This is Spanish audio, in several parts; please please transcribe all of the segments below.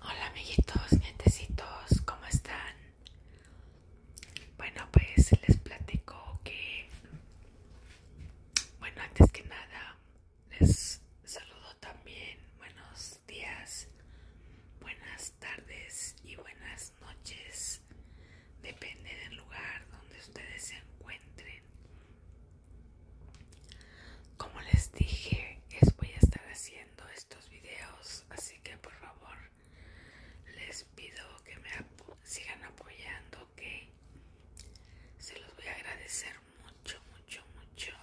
Hola amiguitos, nietecitos, ¿cómo están? Bueno, pues les platico que, bueno, antes que nada, les saludo también, buenos días, buenas tardes y buenas noches, depende del lugar donde ustedes se encuentren. Como les dije, es voy a estar haciendo estos videos así que por favor les pido que me sigan apoyando que se los voy a agradecer mucho mucho mucho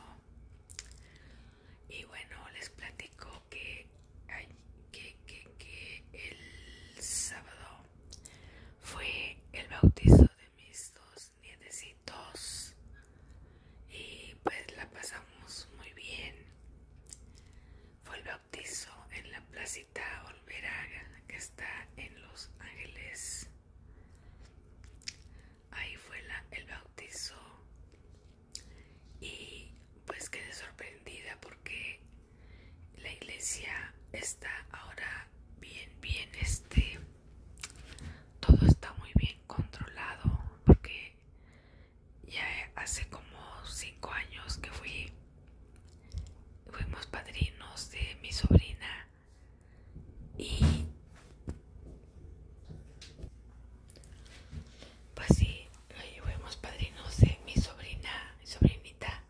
y bueno les platico que que, que el sábado fue el bautizo de mis dos y pues la pasamos muy bien. Fue el bautizo en la placita Olveraga que está en Los Ángeles. Ahí fue la, el bautizo y pues quedé sorprendida porque la iglesia está ahora bien, bien este todo está muy bien controlado porque ya hace como 5 años que fui fuimos padrinos de mi sobrina y pues sí, fuimos padrinos de mi sobrina, mi sobrinita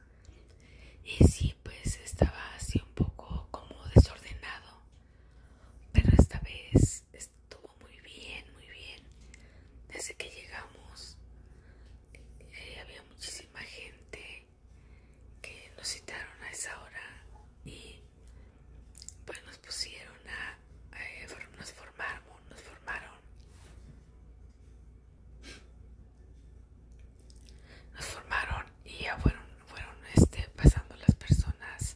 y sí, pues estaba así un poco como desordenado pero esta vez estuvo muy bien, muy bien. Desde que llegamos eh, había muchísima gente que nos citaron a esa hora y pues nos pusieron a, eh, nos nos formaron. Nos formaron y ya fueron, fueron este, pasando las personas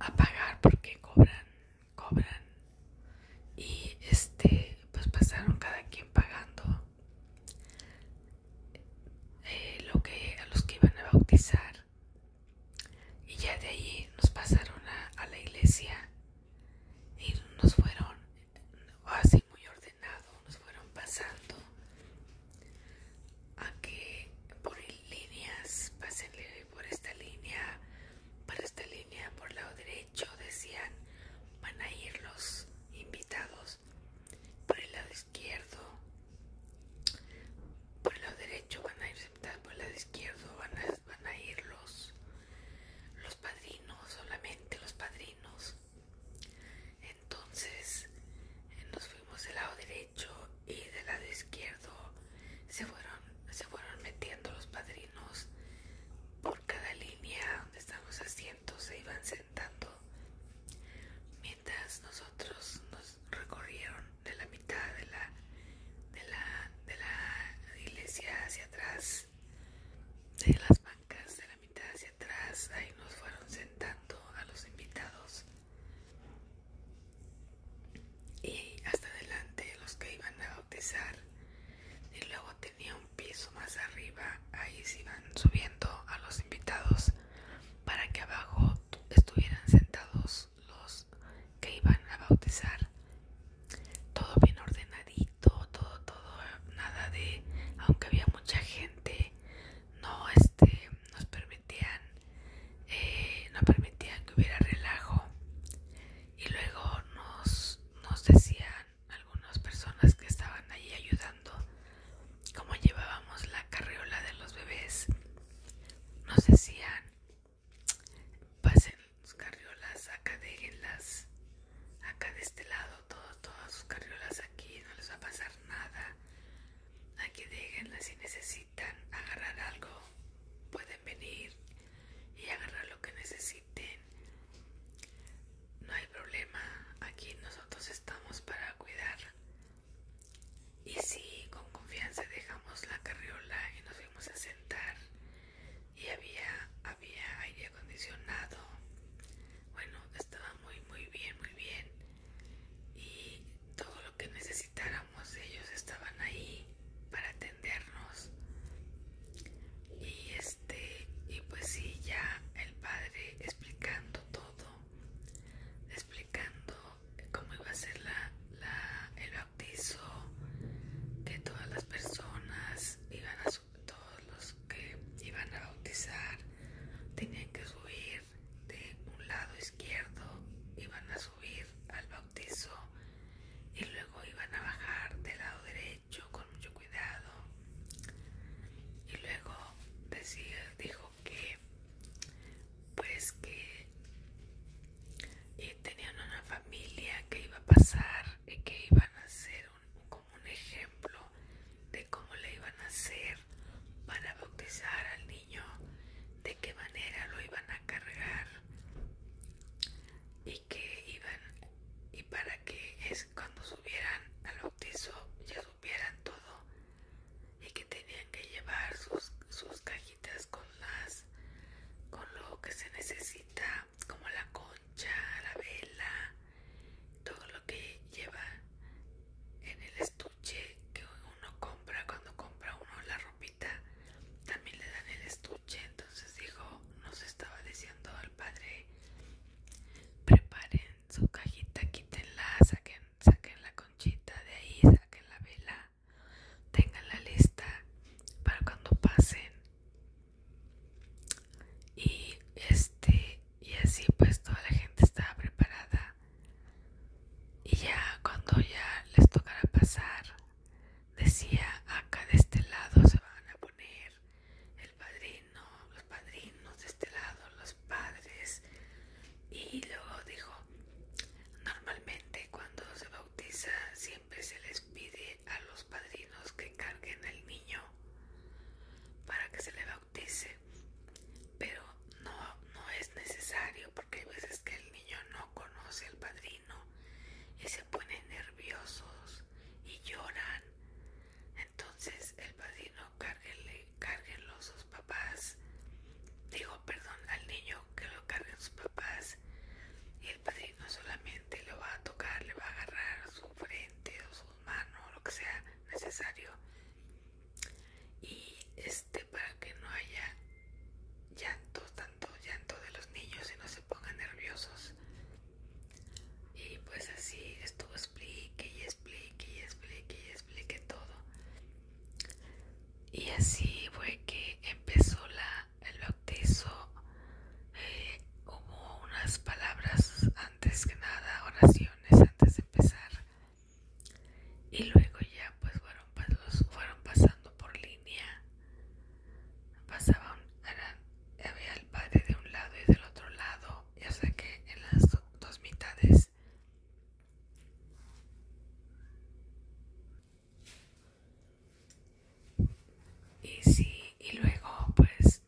a pagar porque cobran, cobran y este pues pasaron cada quien pagando eh, lo que a los que iban a bautizar y ya de ahí nos pasaron a, a la iglesia y nos fueron así muy ordenado nos fueron pasando a que por líneas, pasen por esta línea, para esta línea, por lado derecho, decían, van a ir los invitados, por el lado izquierdo, por el lado derecho van a ir por el lado izquierdo van a, van a ir los, los padrinos, solamente los padrinos. Entonces nos fuimos del lado derecho y del lado izquierdo se fueron, metiendo los padrinos por cada línea donde estaban los asientos, se iban sentando mientras nosotros nos recorrieron de la mitad de de la iglesia hacia atrás, de las bancas de la mitad hacia atrás, ahí nos fueron sentando a los invitados y hasta adelante los que iban a bautizar y luego tenía un piso más arriba ahí se iban subiendo a los invitados para que abajo estuvieran sentados los que iban a bautizar todo bien ordenadito todo todo nada de aunque había mucha gente no este nos permitían eh, no permitían que hubiera relajo y luego nos, nos decían algunas personas que estaban ahí ayudando como llevábamos la carriola de los bebés nos decían pasen sus carriolas acá déjenlas acá de este lado todas sus carriolas aquí no les va a pasar nada Aquí déjenla si necesitan agarrar algo, pueden venir y agarrar lo que necesiten. No hay problema, aquí nosotros estamos para cuidar. Y sí, con confianza dejamos la carriola y nos fuimos a sentar. Y había, había aire acondicionado. Bueno, estaba muy, muy bien, muy bien y todo lo que necesitáramos ellos estaban ahí para atendernos y este y pues sí ya el padre explicando todo explicando cómo iba a ser el bautizo que todas las personas iban a todos los que iban a bautizar tenían que subir de un lado izquierdo, iban a subir al bautizo y luego iban a bajar del lado derecho con mucho cuidado. Y luego decía, dijo que pues que tenían una familia que iba a pasar y que iban a ser un, como un ejemplo de cómo le iban a hacer para bautizar al niño, de qué manera lo iban a cargar y que iban y para que es cuando subieran al bautizo ya supieran todo y que tenían que llevar sus, sus cajitas con las con lo que se necesita como la concha, la vela, todo lo que lleva en el estudio que uno compra cuando compra uno la ropita también le dan el estuche entonces dijo nos estaba diciendo al padre preparen su cajita quítenla saquen saquen la conchita de ahí saquen la vela tengan la lista para cuando pasen y este y así pues toda la gente estaba preparada y ya cuando ya les tocara pasar decía acá de este lado se van a poner el padrino los padrinos de este lado los padres y luego dijo normalmente cuando se bautiza siempre se les pide a los padrinos que encarguen al niño para que se le bautice pero no, no es necesario porque hay veces que el niño no conoce al padrino y se ponen nerviosos y lloran. Entonces el padrino cárguenle, cárguenlo sus papás. Digo, perdón, al niño que lo carguen sus papás y el padrino solamente lo va a tocar, le va a agarrar su frente o su mano o lo que sea necesario y este para que no haya llanto, tanto llanto de los niños y no se pongan nerviosos. Y pues así estuvo explique y explique y explique y explique todo. Y así fue que empezó la, el bautizo. como eh, unas palabras antes que nada, oraciones antes de empezar y luego ya pues fueron, fueron pasando por línea pasaban había el padre de un lado y del otro lado ya hasta que en las dos mitades y sí y luego pues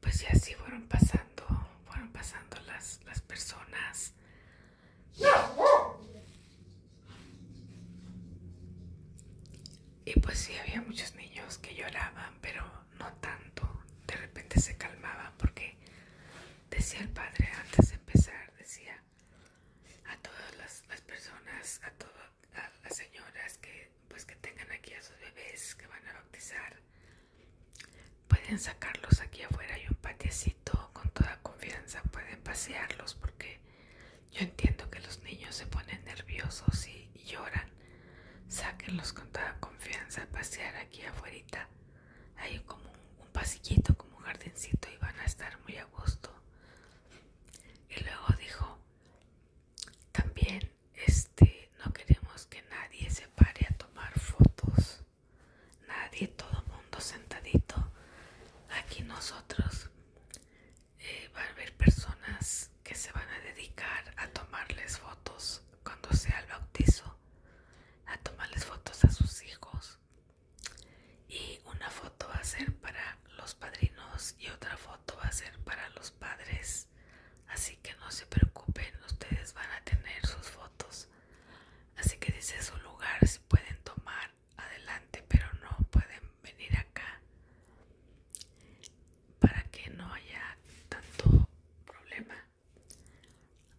pues ya así fueron pasando, fueron pasando las, personas. Y pues sí, había muchos niños que lloraban, pero no tanto. De repente se calmaban porque decía el padre antes de empezar, decía a todas las, las personas, a todas las señoras que pues que tengan aquí a sus bebés que van a bautizar, Pueden sacarlos aquí afuera, hay un patiecito, con toda confianza pueden pasearlos porque yo entiendo que los niños se ponen nerviosos y, lloran. Sáquenlos con toda confianza pasear aquí afuera. Hay como un, un pasillito, como un jardincito y van a estar muy a gusto. Y luego dijo, también este no queremos que nadie se pare a tomar fotos. Nadie, todo mundo sentadito. Aquí nosotros eh, va a haber personas que se van a dedicar a tomarles fotos cuando sea el bautizo, a tomarles fotos a sus hijos. Y una foto va a ser para los padrinos y otra foto va a ser para los padres. Así que no se preocupen, ustedes van a tener sus fotos. Así que dice su lugar, se pueden tomar adelante, pero no pueden venir acá para que no haya tanto problema.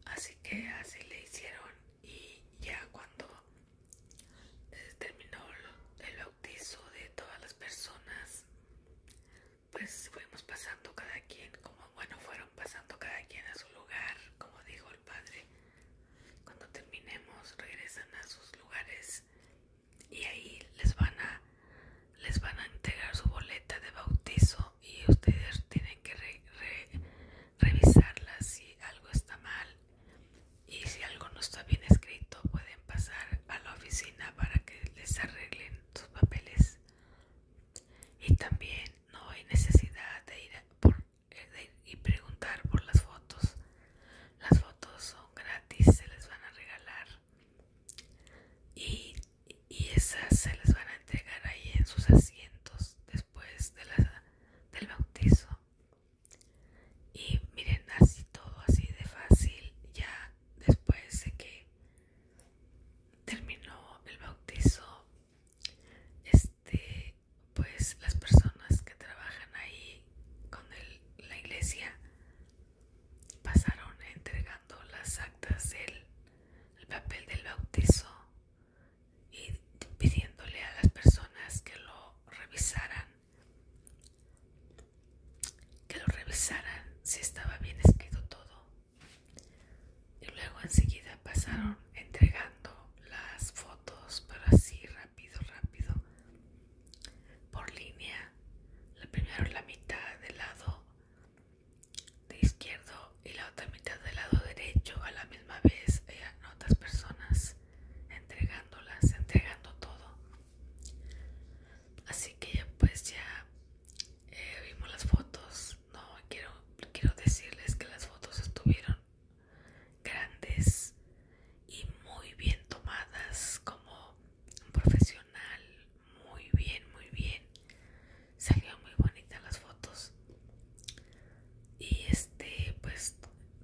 Así que así le hicieron y ya cuando terminó el bautizo de todas las personas pues fuimos pasando cada quien, como bueno, fueron pasando cada quien a su lugar, como dijo el padre. Cuando terminemos, regresan a sus lugares y ahí les van a les van a entregar su boleta de bautizo y ustedes tienen que revisarla si algo está mal y si algo no está bien escrito pueden pasar a la oficina para que les arreglen sus papeles y también no hay necesidad eh, de ir, y preguntar por las fotos las fotos son gratis se les van a regalar y, esas se les van a entregar ahí en sus asientos después de del bautizo y miren así todo así de fácil ya después de que terminó el bautizo este pues las personas que trabajan ahí con la iglesia pasaron entregando las actas el papel del bautizo y pidiéndole a las personas que lo revisaran que lo revisaran si estaba bien escrito todo y luego enseguida pasaron entregando las fotos, pero así rápido, rápido, por línea. La primera, la mitad del lado de izquierdo y la otra mitad del lado derecho a la misma vez. hay eh, otras personas entregándolas, entregando todo. Así que ya pues ya eh, vimos las fotos no quiero quiero decirles que las fotos estuvieron grandes y muy bien tomadas como un profesional muy bien muy bien salió muy bonitas las fotos y este pues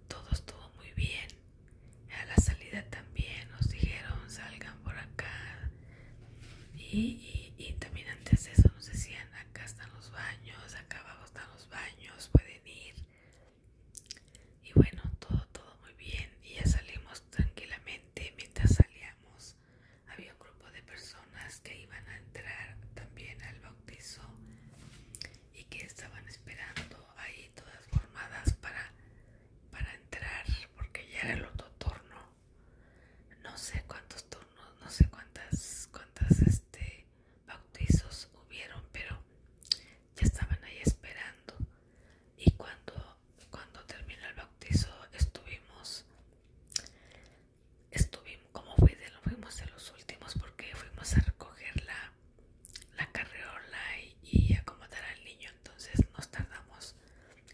todo estuvo muy bien a la salida también nos dijeron salgan por acá y, también antes de eso nos decían, acá están los baños, acá abajo están los baños, pueden ir. Y bueno, todo, todo muy bien. Y ya salimos tranquilamente. Mientras salíamos, había un grupo de personas que iban a entrar también al bautizo y que estaban esperando ahí todas formadas para, para entrar porque ya era el otro torno no sé cuántos turnos, no sé cuántas, cuántas este, bautizos hubieron, pero ya estaban ahí esperando. Y cuando, cuando terminó el bautizo estuvimos, estuvimos, como fuimos de los últimos porque fuimos a recoger la, la carreola y acomodar al niño, entonces nos tardamos.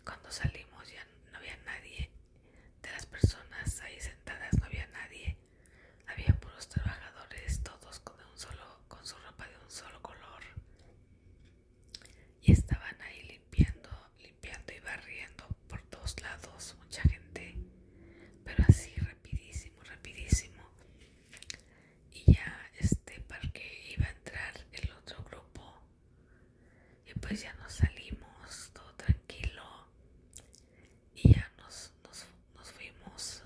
Cuando salimos ya no había nadie de las personas ahí sentadas no había nadie. Había puros trabajadores, todos con, un solo, con su ropa de un solo color. Y estaban ahí limpiando, limpiando y barriendo por todos lados, mucha gente. Pero así rapidísimo, rapidísimo. Y ya este parque iba a entrar el otro grupo y pues ya nos salimos todo tranquilo y ya nos, nos, fuimos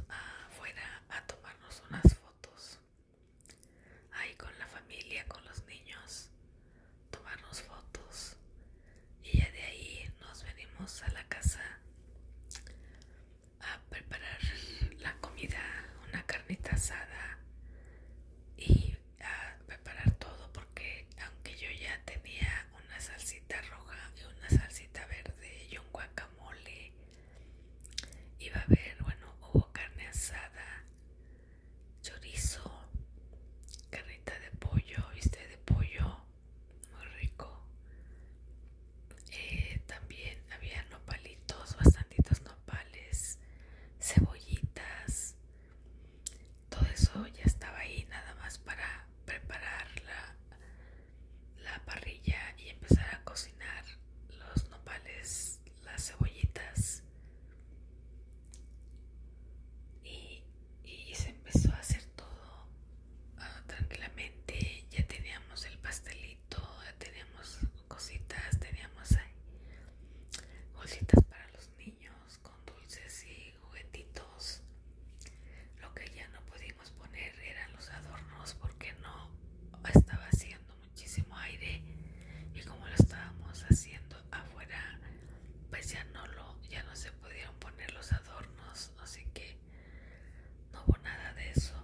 afuera a tomarnos unas fotos ahí con la familia, con los niños, tomarnos fotos y ya de ahí nos venimos a la casa a preparar la comida, una carnita asada y a preparar todo porque aunque yo ya tenía una salsita roja y una salsita verde y un guacamole iba a haber bueno hubo carne asada chorizo carnita de pollo viste de pollo muy rico eh, también había nopalitos bastantitos nopales cebollitas todo eso ya estaba ahí nada más para preparar la, parrilla y empezar a cocinar los nopales, las cebollitas. Y, se empezó a hacer todo ah, tranquilamente. Ya teníamos el pastelito, ya teníamos cositas, teníamos bolsitas para los niños con dulces y juguetitos. Lo que ya no pudimos poner eran los adornos porque no estaba haciendo muchísimo aire y como lo estábamos haciendo afuera, pues ya no lo ya no se pudieron poner los adornos, así que no hubo nada de eso.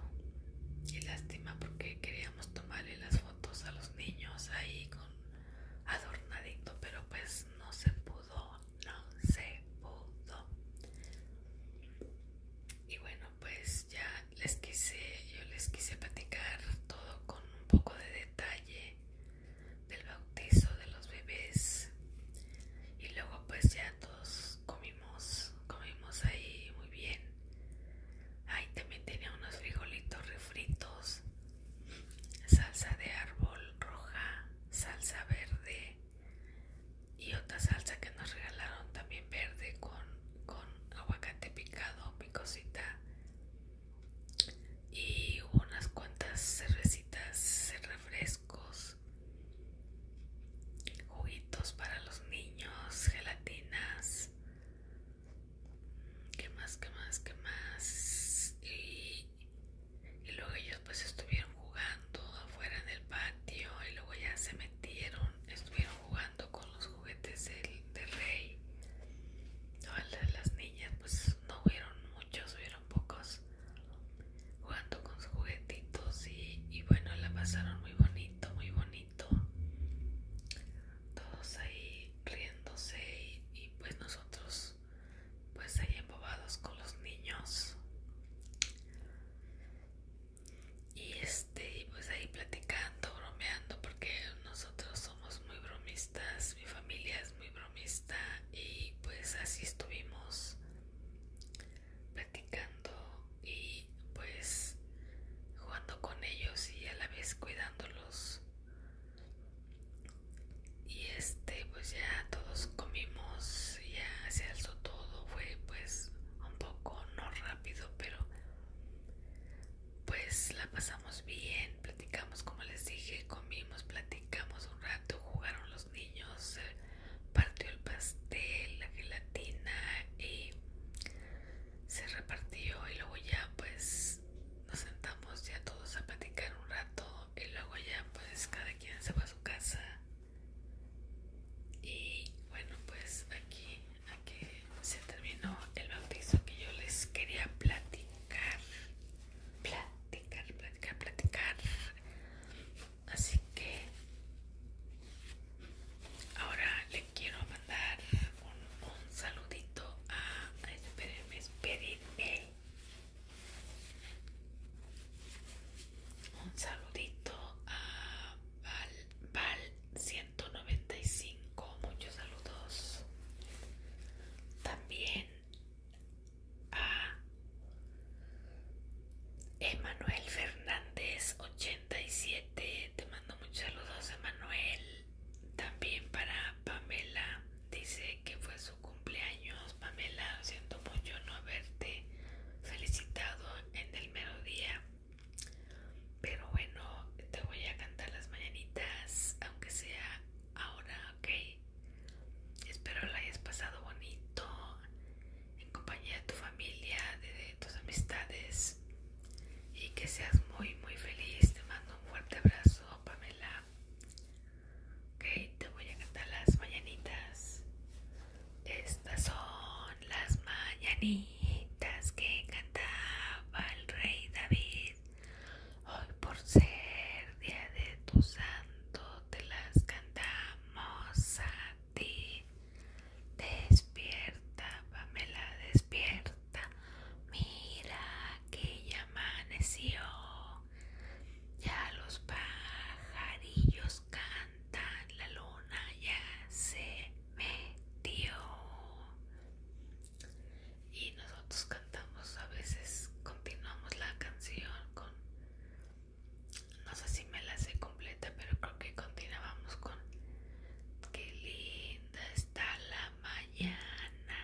Y lástima porque queríamos tomarle las fotos a los niños ahí con adornadito pero pues no se pudo no se pudo y bueno pues ya les quise yo les quise platicar todo con un poco de detalle del bautizo de los bebés y luego pues ya todos comimos comimos ahí muy bien ahí también tenía unos frijolitos refritos salsa de árbol roja, salsa verde y otra salsa que nos regalaron también verde con, aguacate picado, picosita y unas cuantas cervecitas, refrescos, juguitos para los niños, gelatinas, ¿Qué más, que más, que más? Y, luego ellos pues estuvieron jugando afuera en el patio y luego ya se metieron, estuvieron jugando con los juguetes del, rey. las, niñas pues no hubieron muchos, hubieron pocos jugando con sus juguetitos y, y bueno, la pasaron muy bonito, muy bonito todos ahí riéndose y, pues nosotros pues ahí embobados con los niños y este pues ahí platicando bromeando porque nosotros somos muy bromistas mi familia es muy bromista y pues así estuvimos platicando y pues jugando con ellos y a la vez cuidándolos y este pues ya todos comimos ya se alzó todo fue pues un poco no rápido pero pues la pasamos bien platicamos como les dije comimos platicamos un rato jugaron los niños partió el pastel la gelatina y se repartió y luego ya pues nos sentamos ya todos a platicar un rato y luego ya pues cada quien se va a su casa y bueno pues aquí aquí se terminó el bautizo que yo les quería platicar platicar platicar platicar así que ahora le quiero un, saludito a. Espérenme, Un saludito a Val195. muchos saludos. También a Emanuel Fernández 87. Te mando muchos saludos, Emanuel. También para Pamela dice que fue su cumpleaños. Pamela, siento mucho no haberte felicitado en el mero día. Pero bueno, te voy a cantar las mañanitas, aunque sea ahora, ¿ok? Espero la hayas pasado bonito, en compañía de tu familia, de tus amistades y que seas muy, muy feliz. Te mando un fuerte abrazo Oh, Pamela. Ok, te voy a cantar las mañanitas. Estas son las mañanitas que cantaba el rey David. Hoy por ser día de tu santo te las cantamos a ti. Despierta, Pamela, despierta. Mira que ya amaneció. Ya los pajarillos cantan. La luna ya se metió. Y nosotros cantamos a veces, continuamos la canción con... No sé si me la sé completa, pero creo que continuábamos con... Qué linda está la mañana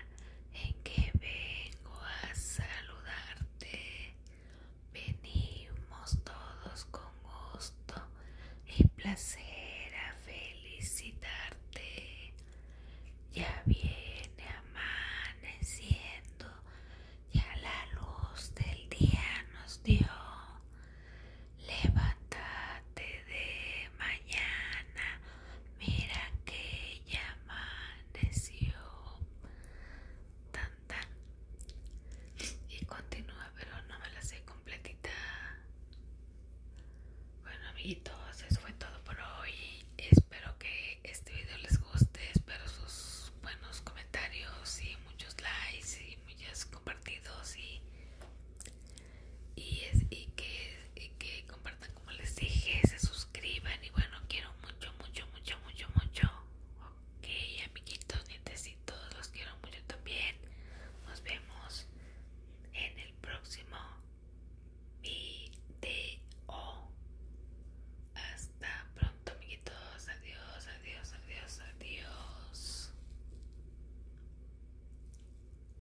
en que vengo a saludarte. Venimos todos con gusto y placer a felicitarte. Ya viene amaneciendo, ya la luz del día nos dio. Levántate de mañana Mira que ya amaneció. Tan tan. Y continúa, pero no me la sé completita. Bueno amiguitos, eso fue todo por hoy. Espero que este video les guste. Espero sus buenos comentarios y muchos likes y muchos compartidos y y, es, que, que compartan como les dije, se suscriban y bueno, quiero mucho, mucho, mucho, mucho, mucho. Ok, amiguitos, todos los quiero mucho también. Nos vemos en el próximo video. Hasta pronto, amiguitos. Adiós, adiós, adiós, adiós.